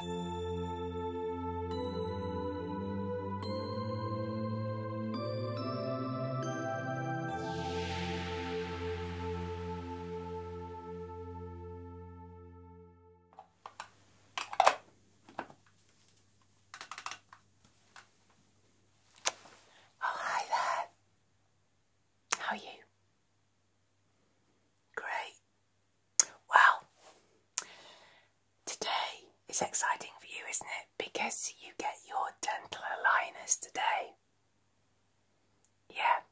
Oh, hi there. How are you? Great. Well, today is exciting for you, isn't it? Because you get your dental aligners today. Yeah.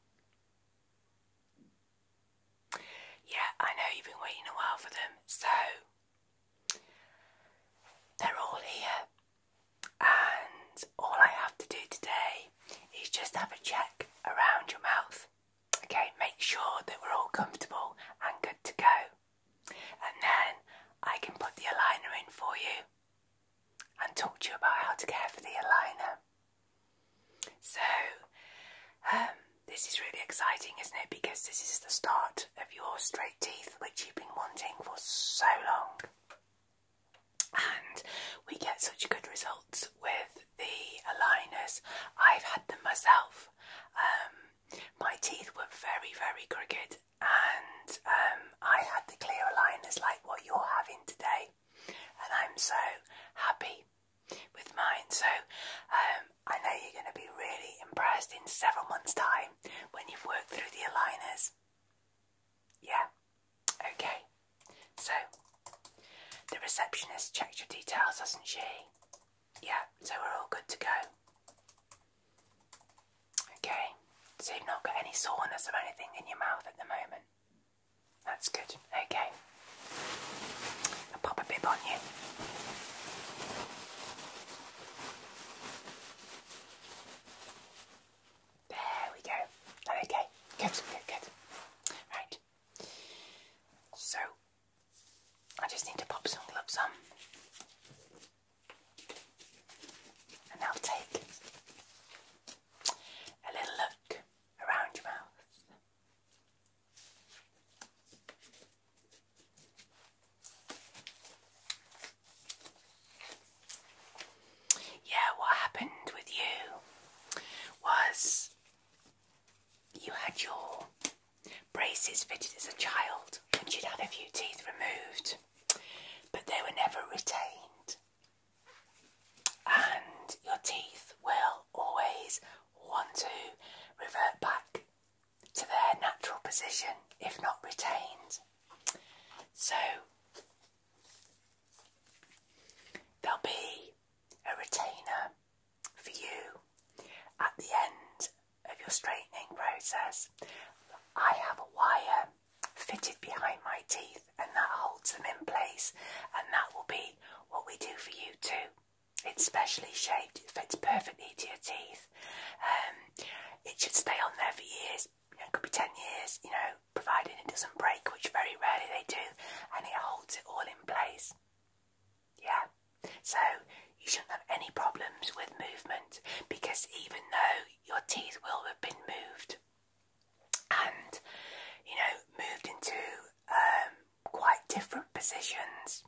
Yeah, I know you've been waiting a while for them, so they're all here. And all I have to do today is just have a check around your mouth Okay, make sure that we're all comfortable and good to go. And then I can put the aligner in for you and talk to you about how to care for the aligner. So, um, this is really exciting, isn't it? Because this is the start of your straight teeth, which you've been wanting for so long. And we get such good results with the aligners. I've had them myself. Um, my teeth were very, very crooked, and um, I had to clear aligners like what you're having today, and I'm so happy with mine. So um, I know you're going to be really impressed in several months' time when you've worked through the aligners. Yeah, okay. So, the receptionist checked your details, hasn't she? Yeah, so we're all good to go. Okay, so you've not got any soreness or anything in your mouth at the moment. That's good, okay. I'll pop a bib on you. There we go. Okay, good, good, good. Right, so I just need to pop some gloves on. And I'll take a little look around your mouth. Yeah, what happened with you was you had your braces fitted as a child and you'd had a few teeth removed, but they were never retained. And your teeth will always want to revert back to their natural position if not retained. So, there'll be a retainer for you at the end of your straightening process. I have a wire fitted behind my teeth and that holds them in place and that will be what we do for you too. It's specially shaped, it fits perfectly to your teeth. Um, it should stay on there for years, you know, it could be 10 years, you know, providing it doesn't break, which very rarely they do, and it holds it all in place. Yeah, so you shouldn't have any problems with movement because even though your teeth will have been moved and you know moved into um, quite different positions,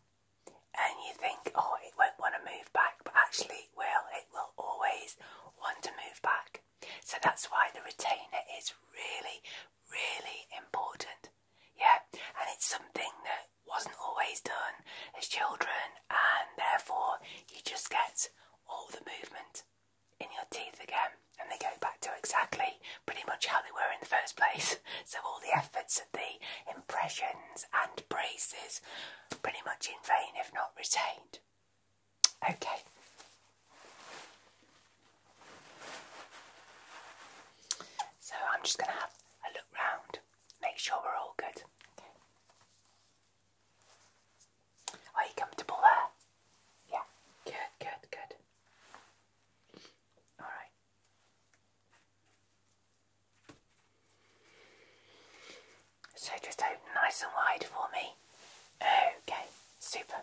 and you think, oh, it won't want to move back, but actually, it will. It will always want to move back. So that's why the retainer is really, really important. Yeah, and it's something that wasn't always done as children, and therefore you just get all the movement in your teeth again, and they go back to exactly pretty much how they were in the first place. So, all the efforts of the impressions and braces pretty much in vain, if not retained. Okay. So I'm just going to have a look round, make sure we're all good. Are you comfortable there? Yeah. Good, good, good. All right. So just open nice and wide for me. Okay, super.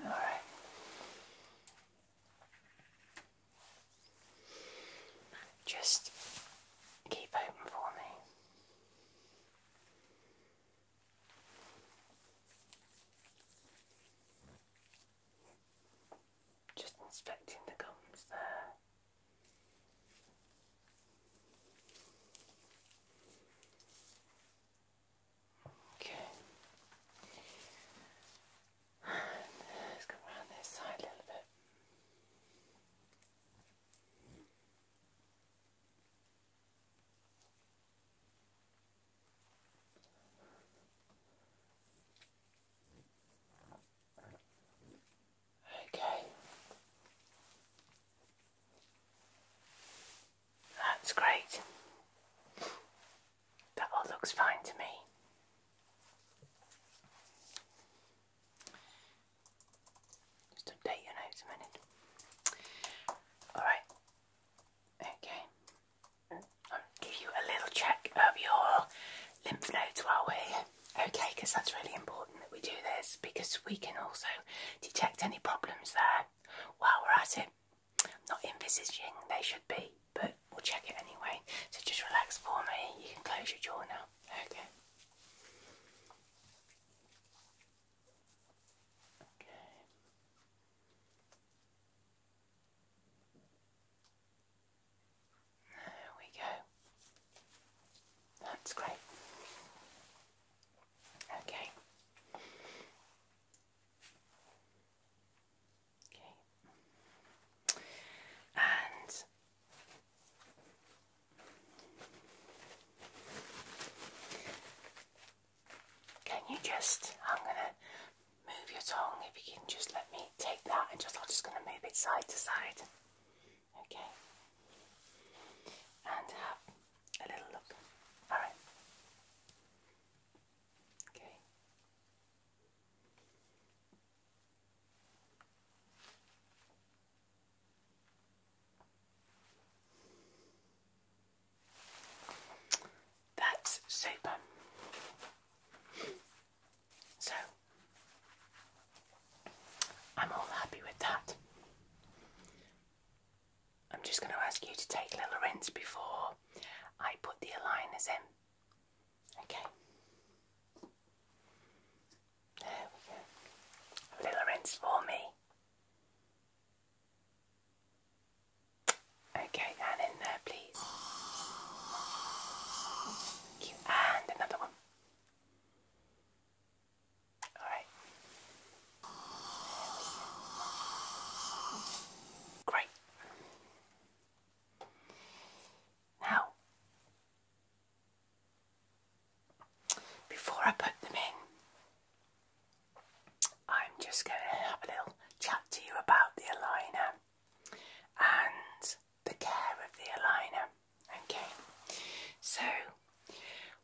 All right. Just keep open for me. Just inspecting the gums there. Okay. Let's go around this side a little bit. Okay. That's great. That all looks fine to me. Just update your notes a minute. Alright. Okay. I'll give you a little check of your lymph nodes while we're that's really important that we do this because we can also detect any problems there while we're at it not envisaging they should be, but we'll check it anyway. So just relax for me. You can close your jaw now. Okay. Okay. There we go. That's great. Okay. Okay. And can you just, I'm going to move your tongue if you can just let me take that and just, I'm just going to move it side to side. Okay. And have a little look. Alright. Okay. That's super. So I'm all happy with that. I'm just going to ask you to take a little rinse before I put the aligners in. Okay. There we go. A little rinse for me. Okay, and in there, please. you. And another one. Alright. Great. Now, before I put them in, I'm just going to have a little chat to you about the aligner and the care of the aligner. Okay, so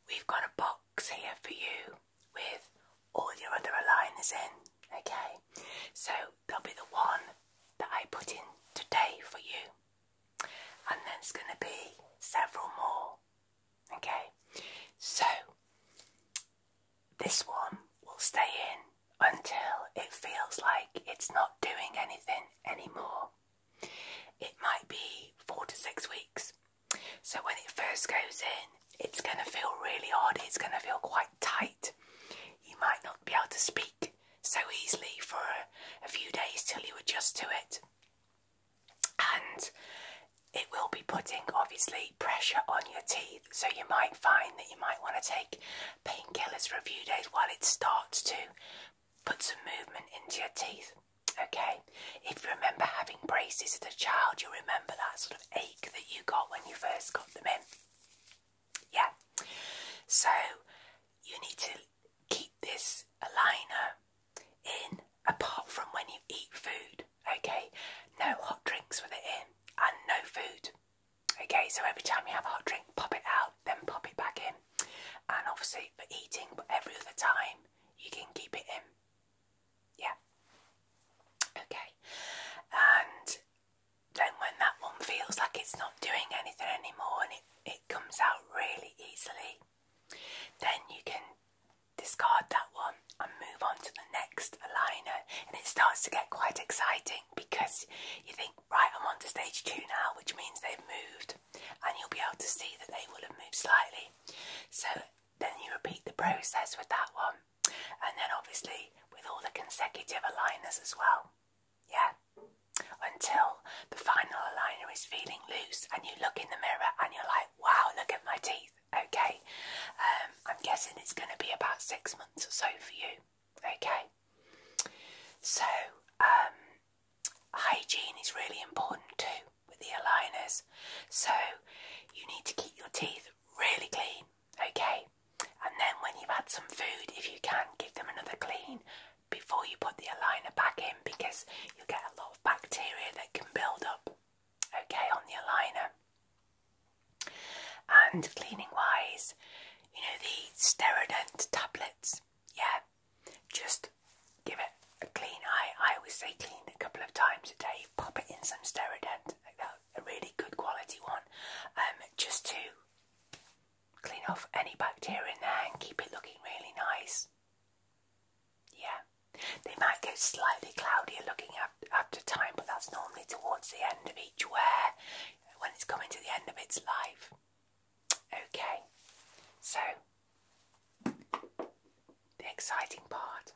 we've got a box here for you with all your other aligners in, okay? So there'll be the one that I put in today for you, and then it's going to be several more, okay? So this one will stay in until it feels like it's not doing anything anymore. It might be four to six weeks, so when it first goes in, it's going to feel really hard. It's going to feel quite tight. You might not be able to speak so easily for a few days till you adjust to it. And it will be putting obviously pressure on your teeth, so you might find that you might want to take painkillers for a few days while it starts to put some movement into your teeth. Okay, if you remember having braces as a child, you remember that sort of ache that you got when you first got them in. Yeah. So you need to keep this aligner in apart from when you eat food. Okay. No hot drinks with it in and no food. Okay, so every time you have a hot drink, pop it out, then pop it back in. And obviously for eating, every other time you can keep it in. Yeah. Okay. And then when that one feels like it's not doing anything anymore and it, it comes out really easily, then you can discard that one and move on to the next aligner and it starts to get quite exciting because you think right I'm on to stage two now which means they've moved and you'll be able to see that they will have moved slightly so then you repeat the process with that one, and then obviously with all the consecutive aligners as well. Yeah, until the final aligner is feeling loose, and you look in the mirror and you're like, wow, look at my teeth. Okay, um, I'm guessing it's going to be about six months or so for you. Okay, so um, hygiene is really important too with the aligners. So you need to keep your teeth really clean, okay? And then when you've had some food, if you can, give them another clean before you put the aligner back in because you'll get a lot of bacteria that can build up, okay, on the aligner. And cleaning wise, you know, the Sterodent tablets, yeah, just give it a clean eye. I always say clean a couple of times a day. Pop it in some Sterident, a really good quality one, um, just to clean off any bacteria in there and keep it looking really nice. Yeah, they might go slightly cloudier looking after time, but that's normally towards the end of each wear when it's coming to the end of its life. Okay, so the exciting part.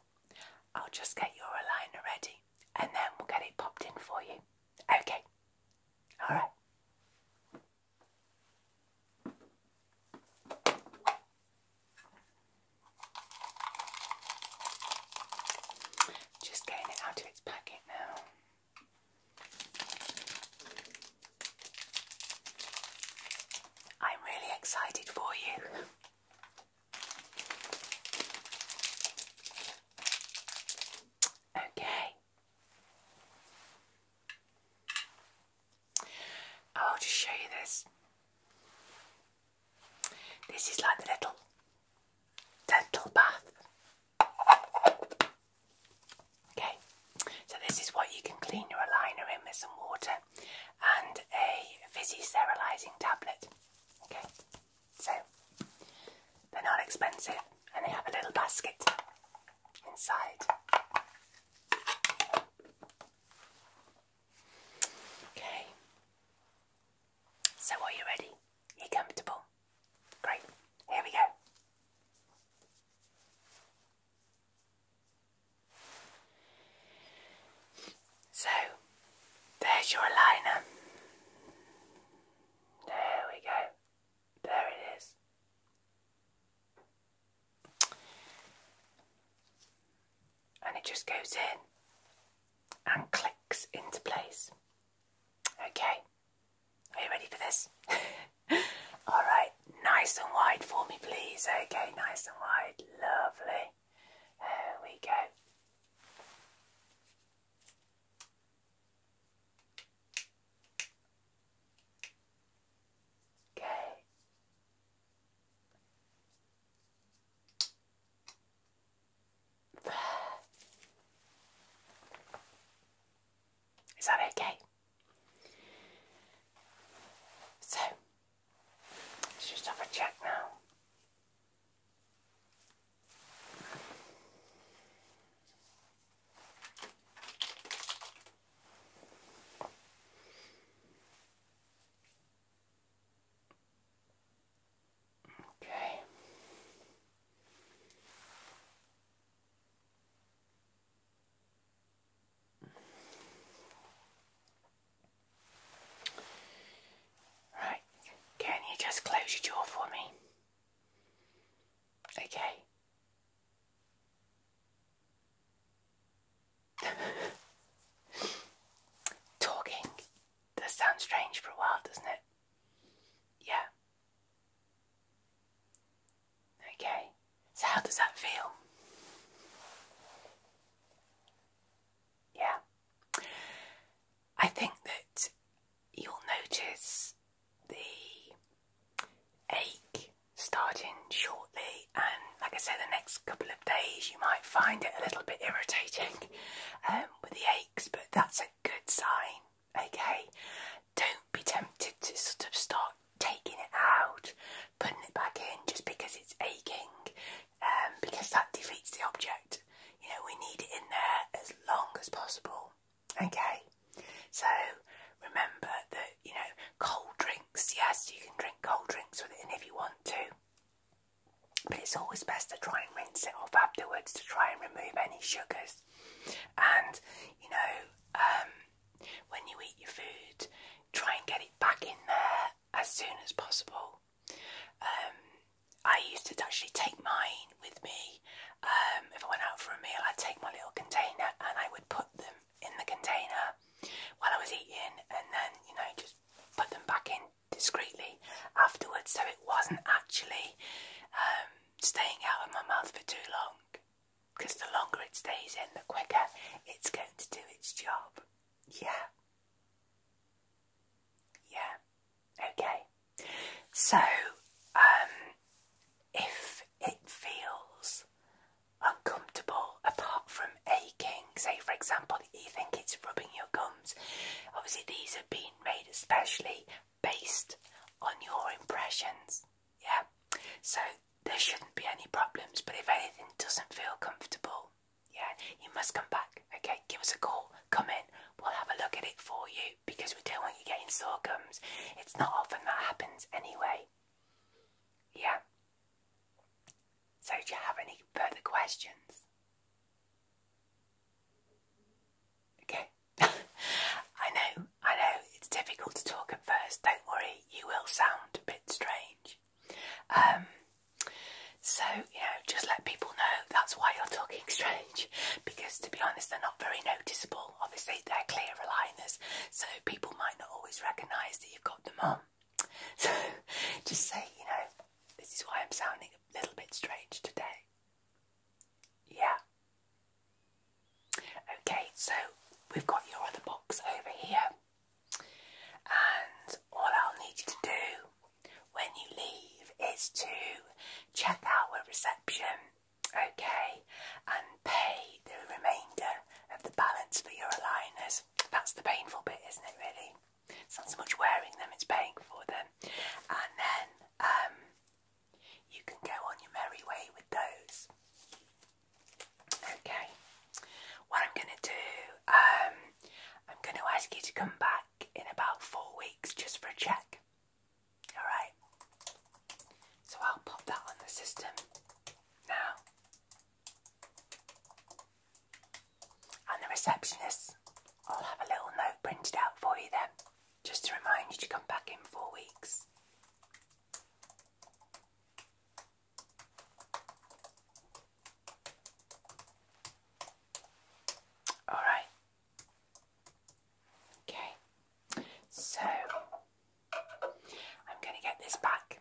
I'll just get your aligner ready and then we'll get it popped in for you. Okay. All right. Just getting it out of its packet now. I'm really excited for you. Okay. I'll just show you this. This is like the little dental bath. Okay, so this is what you can clean your aligner in with some water and a fizzy sterilizing tablet. Okay, so they're not expensive and they have a little basket inside. Okay, so are you ready? you Are comfortable? Great, here we go. So there's your liner. There we go. There it is. And it just goes in and clicks into place. Okay, are you ready for this? Alright, nice and wide for me, please. Okay, nice and wide. Lovely. There we go. Okay. There. Is that okay? So, let's just have a check now. Okay. Right, can you just close your jaw for me? Okay. Talking does sound strange for a while, doesn't it? Yeah. Okay, so how does that feel? Yeah, I think that you'll notice the ache starting shortly, and like I said, the next couple of days you might find it a little bit irritating um, with the aches, but that's a good sign. Okay, don't be tempted to sort of start taking it out, putting it back in just because it's aching, um, because that defeats the object. You know, we need it in there as long as possible. Okay, so remember that, you know, cold drinks, yes, you can drink cold drinks with it in if you want to. But it's always best to try and rinse it off afterwards to try and remove any sugars. And, you know, um, when you eat your food, try and get it back in there as soon as possible. Um, I used to actually take mine with me. Um, if I went out for a meal, I'd take my little container and I would put them in the container while I was eating and then, you know, just put them back in discreetly afterwards so it wasn't actually um, staying out of my mouth for too long because the longer it stays in, the quicker it's going to do its job. Yeah. Yeah. Okay. So, um, if it feels uncomfortable apart from aching, say for example, that you think it's rubbing your gums, obviously these have been made especially based on your impressions. Yeah, so there shouldn't be any problems, but if anything doesn't feel comfortable, yeah, you must come back. Okay, give us a call, come in, we'll have a look at it for you because we don't want you getting sore gums. It's not often that happens anyway. Yeah. So, do you have any further questions? Okay. I know, I know, it's difficult to talk at first. Don't worry, you will sound a bit strange. Um, so, you know, just let people know that's why you're talking strange because, to be honest, they're not very noticeable. Obviously, they're clear aligners, so people might not always recognise that you've got them on. So, just say, you know, this is why I'm sounding a little bit strange today. Yeah, Okay, so we've got your other box over here, and all I'll need you to do when you leave is to check out our reception, okay, and pay the remainder of the balance for your aligners. That's the painful bit, isn't it, really? It's not so much wearing them, it's paying for them. And then um, you can go on your merry way with those. Okay, what I'm going to do, um, I'm going to ask you to come back in about four weeks just for a check. Alright, so I'll pop that on the system now. And the receptionist, I'll have a little note printed out for you then. Just to remind you to come back in four weeks. All right. Okay. So I'm going to get this back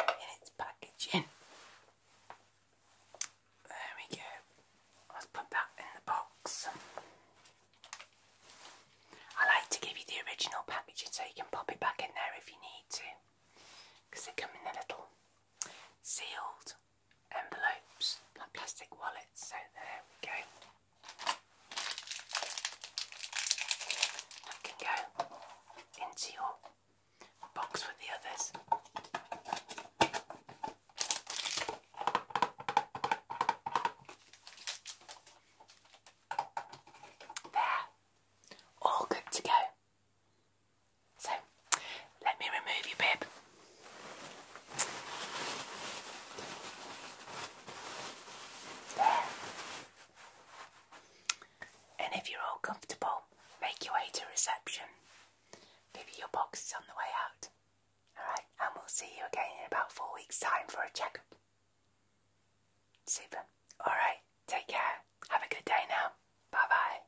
in its packaging. There we go. Let's put that in the box. I like to give you the original packaging so you can pop it back in there if you need to. Because they come in the little sealed envelopes, like plastic wallets, so there we go. That can go into your box with the others. There, all good to go. So, let me remove you, bib. There. And if you're all comfortable, make your way to reception. Maybe your box is on the way out. Alright, and we'll see you again in about four weeks' time for a checkup. Super. Alright, take care. Have a good day now. Bye bye.